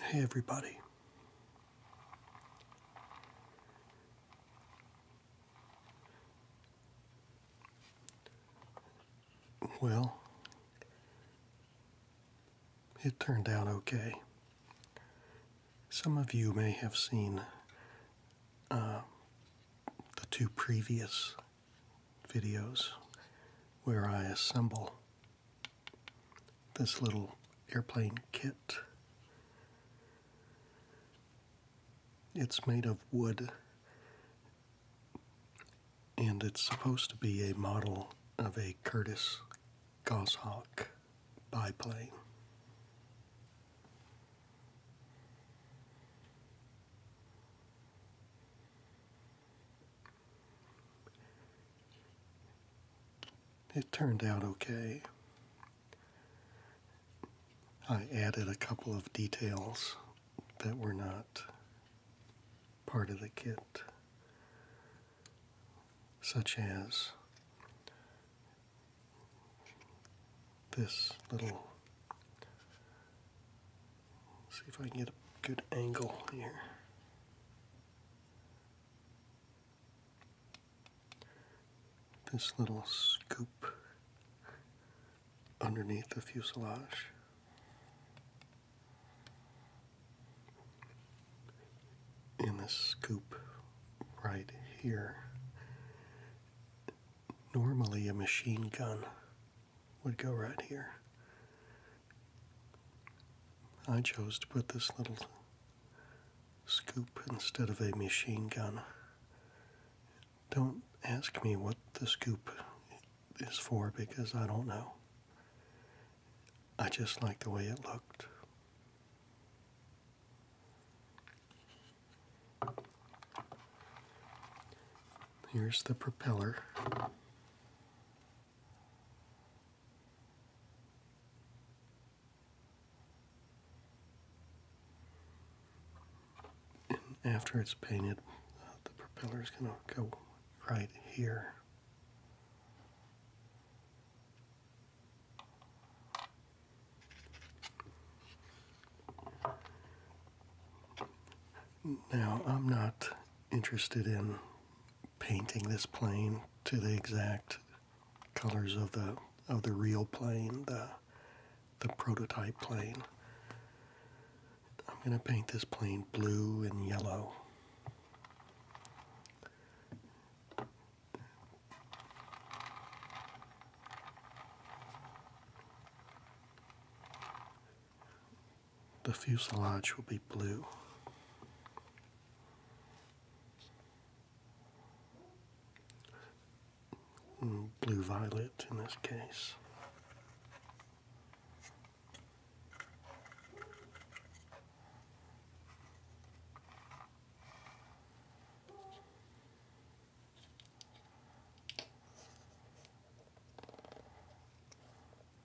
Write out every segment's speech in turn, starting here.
Hey, everybody. Well, it turned out okay. Some of you may have seen uh, the two previous videos where I assemble this little airplane kit. It's made of wood and it's supposed to be a model of a Curtiss Goshawk biplane. It turned out okay. I added a couple of details that were not part of the kit, such as this little see if I can get a good angle here. This little scoop underneath the fuselage. in this scoop right here. Normally, a machine gun would go right here. I chose to put this little scoop instead of a machine gun. Don't ask me what the scoop is for because I don't know. I just like the way it looked. Here's the propeller. after it's painted, uh, the propeller is going to go right here. Now, I'm not interested in painting this plane to the exact colors of the of the real plane, the the prototype plane. I'm going to paint this plane blue and yellow. The fuselage will be blue. Mm, blue violet in this case.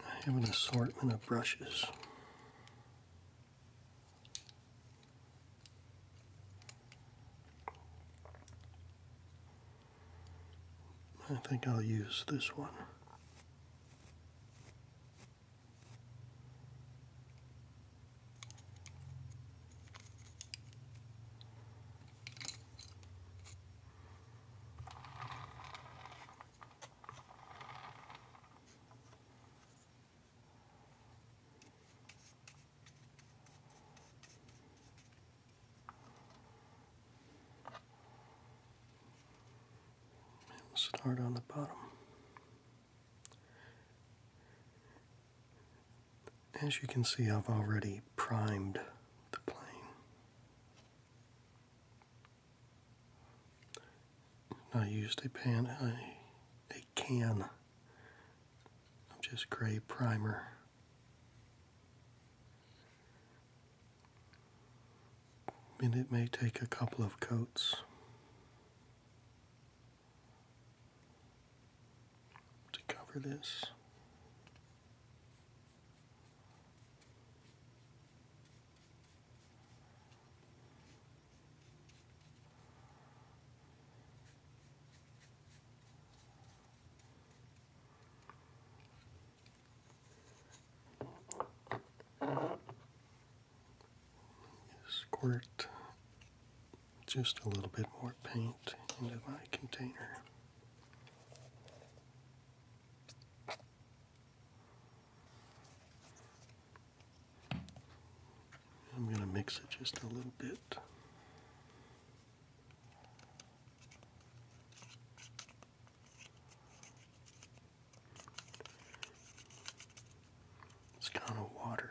I have an assortment of brushes. I think I'll use this one start on the bottom. As you can see, I've already primed the plane. I used a pan, a, a can of just gray primer. And it may take a couple of coats to cover this. Squirt just a little bit more paint into my container. I'm going to mix it just a little bit. It's kind of watery.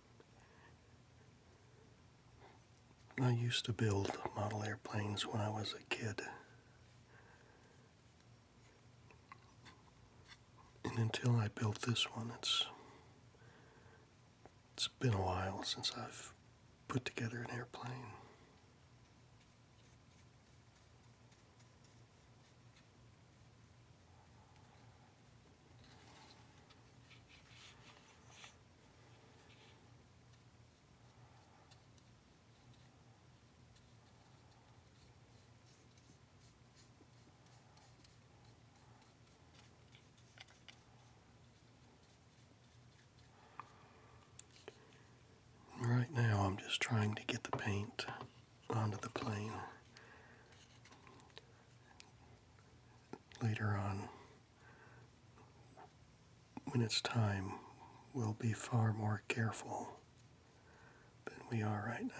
I used to build model airplanes when I was a kid. And until I built this one, it's it's been a while since I've put together an airplane. Right now, I'm just trying to get the paint onto the plane. Later on, when it's time, we'll be far more careful than we are right now.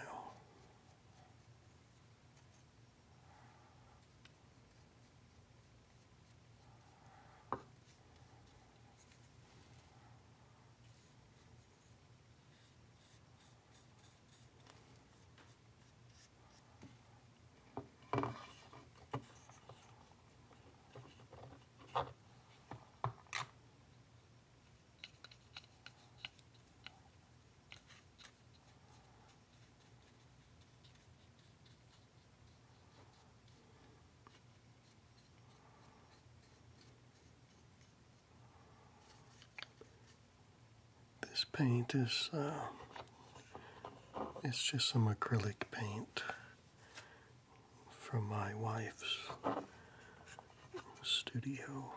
This paint is uh, it's just some acrylic paint from my wife's studio.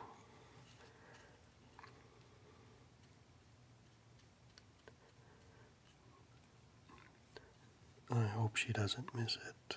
I hope she doesn't miss it.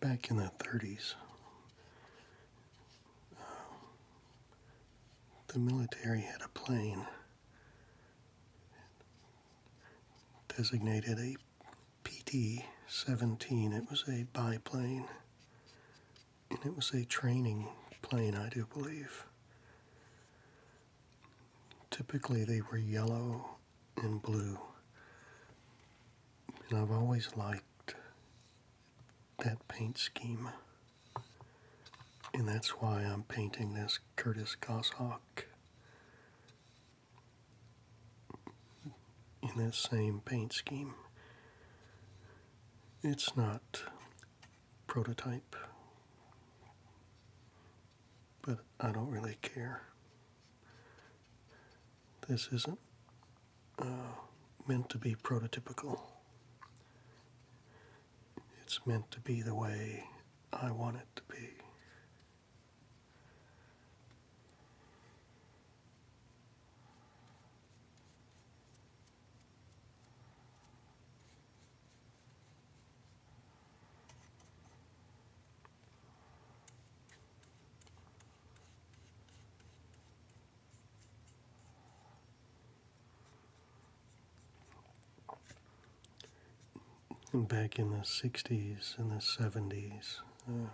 back in the 30s, um, the military had a plane designated a PT 17. It was a biplane, and it was a training plane, I do believe. Typically, they were yellow and blue. And I've always liked that paint scheme. And that's why I'm painting this Curtis Goshawk in that same paint scheme. It's not prototype, but I don't really care. This isn't uh, meant to be prototypical. It's meant to be the way I want it to be back in the 60s and the 70s, uh,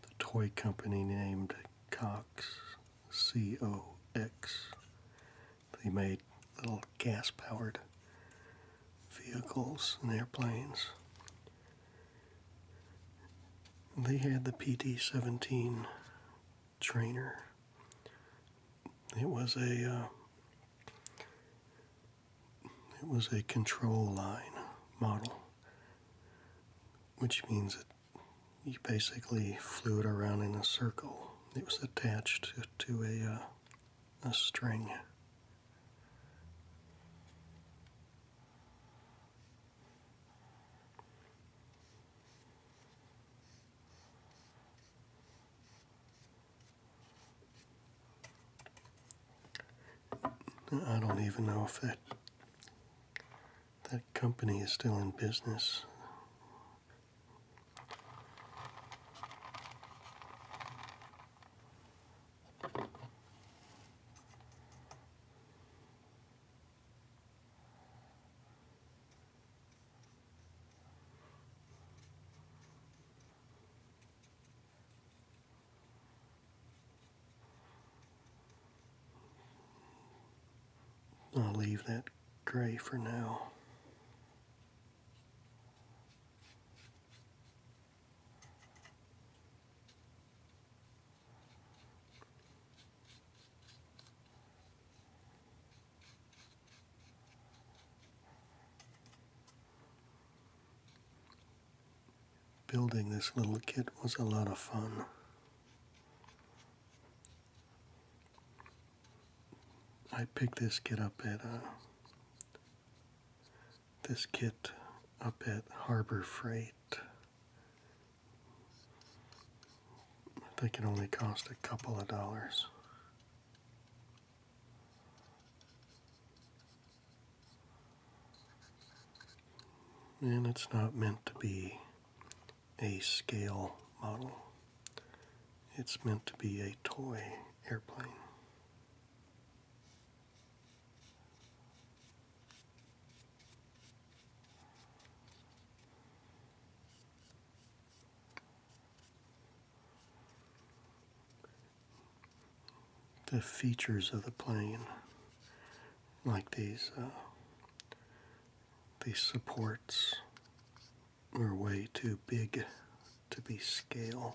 the toy company named Cox, C O X, they made little gas powered vehicles and airplanes. They had the PT 17 trainer. It was a uh, it was a control line model, which means that you basically flew it around in a circle. It was attached to, a uh, a string. I don't even know if that that company is still in business. I'll leave that gray for now. Building this little kit was a lot of fun. I picked this kit up at uh, this kit up at Harbor Freight. I think it only cost a couple of dollars. And it's not meant to be a scale model. It's meant to be a toy airplane the features of the plane, like these uh, these supports, are way too big to be scale.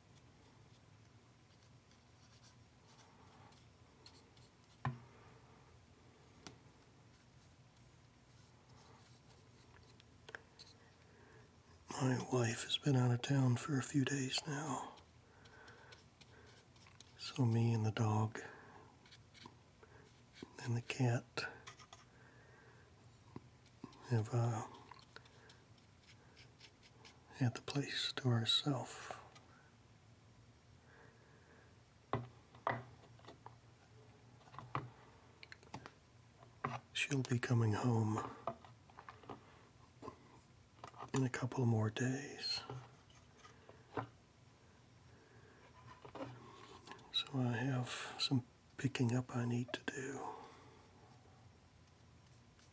My wife has been out of town for a few days now. So, me and the dog and the cat have uh, at the place to herself. She'll be coming home in a couple more days. So I have some picking up I need to do.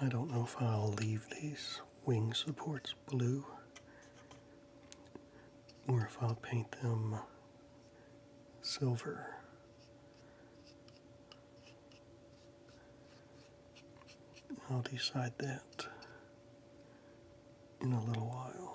I don't know if I'll leave these wing supports blue or if I'll paint them silver. I'll decide that in a little while.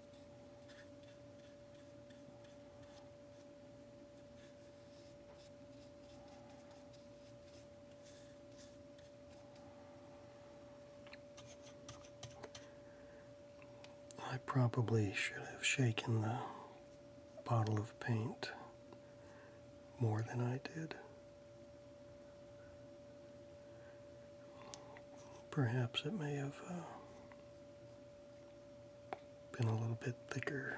I probably should have shaken the bottle of paint more than I did. Perhaps it may have uh, been a little bit thicker.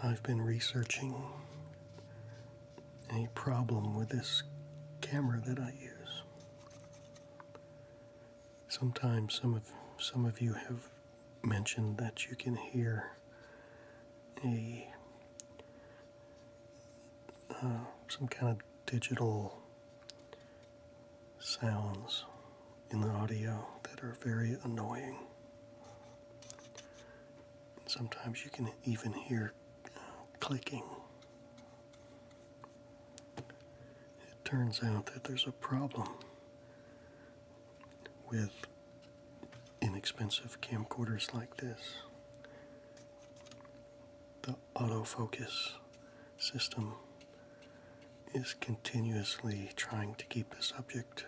I've been researching a problem with this camera that I use. Sometimes some of some of you have mentioned that you can hear a uh, some kind of digital sounds in the audio that are very annoying. sometimes you can even hear uh, clicking. It turns out that there's a problem with inexpensive camcorders like this. The autofocus system is continuously trying to keep the subject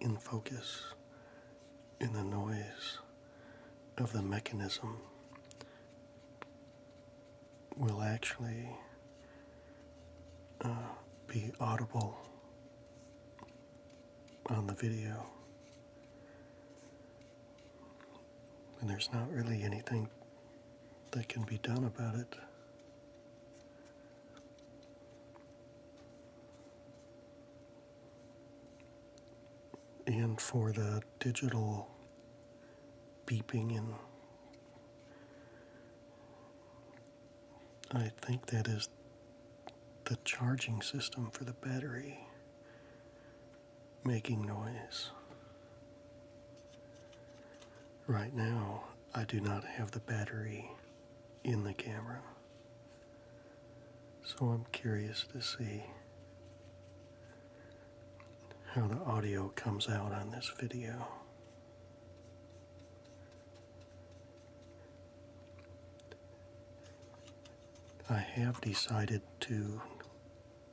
in focus in the noise of the mechanism will actually uh, be audible on the video. And there's not really anything that can be done about it. And for the digital beeping and I think that is the charging system for the battery making noise. Right now, I do not have the battery in the camera. So I'm curious to see how the audio comes out on this video. I have decided to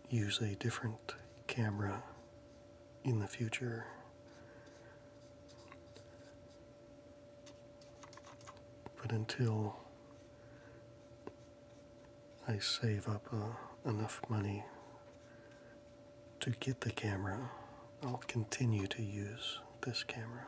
use a different camera in the future. But until I save up uh, enough money to get the camera, I'll continue to use this camera.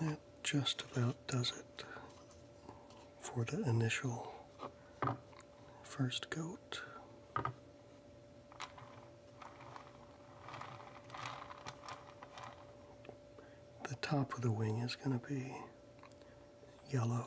That just about does it for the initial first coat. The top of the wing is going to be yellow.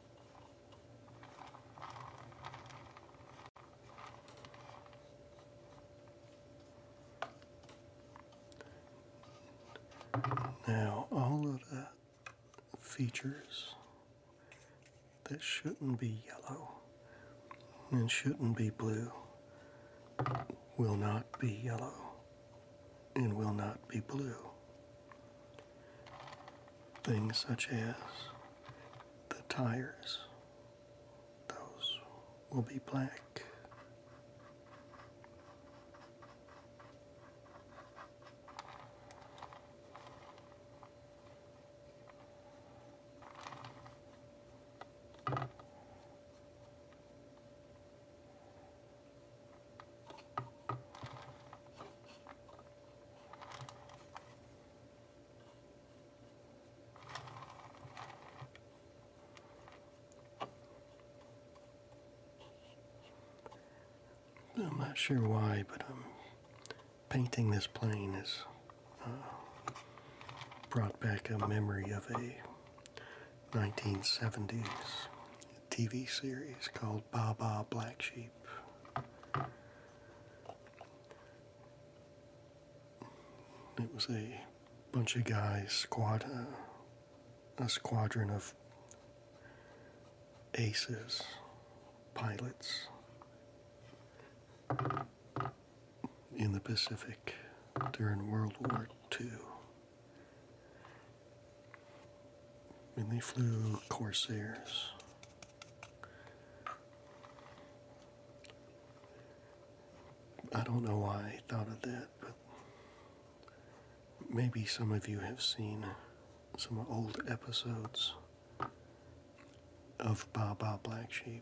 Now, all of that features that shouldn't be yellow and shouldn't be blue will not be yellow and will not be blue. Things such as the tires, those will be black. I'm not sure why, but I'm um, painting this plane has uh, brought back a memory of a 1970s TV series called Baba Black Sheep. It was a bunch of guys, uh, a squadron of aces, pilots in the Pacific during World War II. And they flew Corsairs I don't know why I thought of that, but maybe some of you have seen some old episodes of Ba Ba Black Sheep.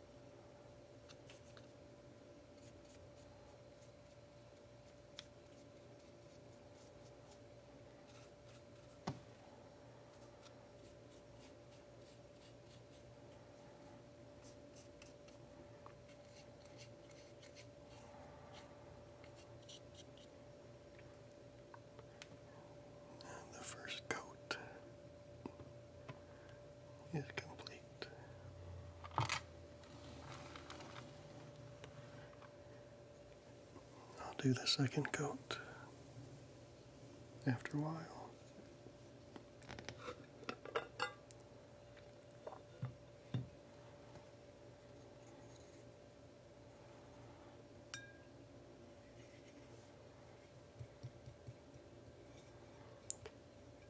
And the first coat is complete. I'll do the second coat after a while.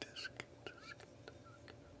Disc, disc, disc. Disc, disc.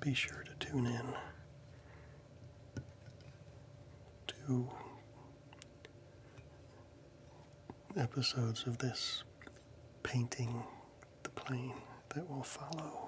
Be sure to tune in to episodes of this painting the plane that will follow.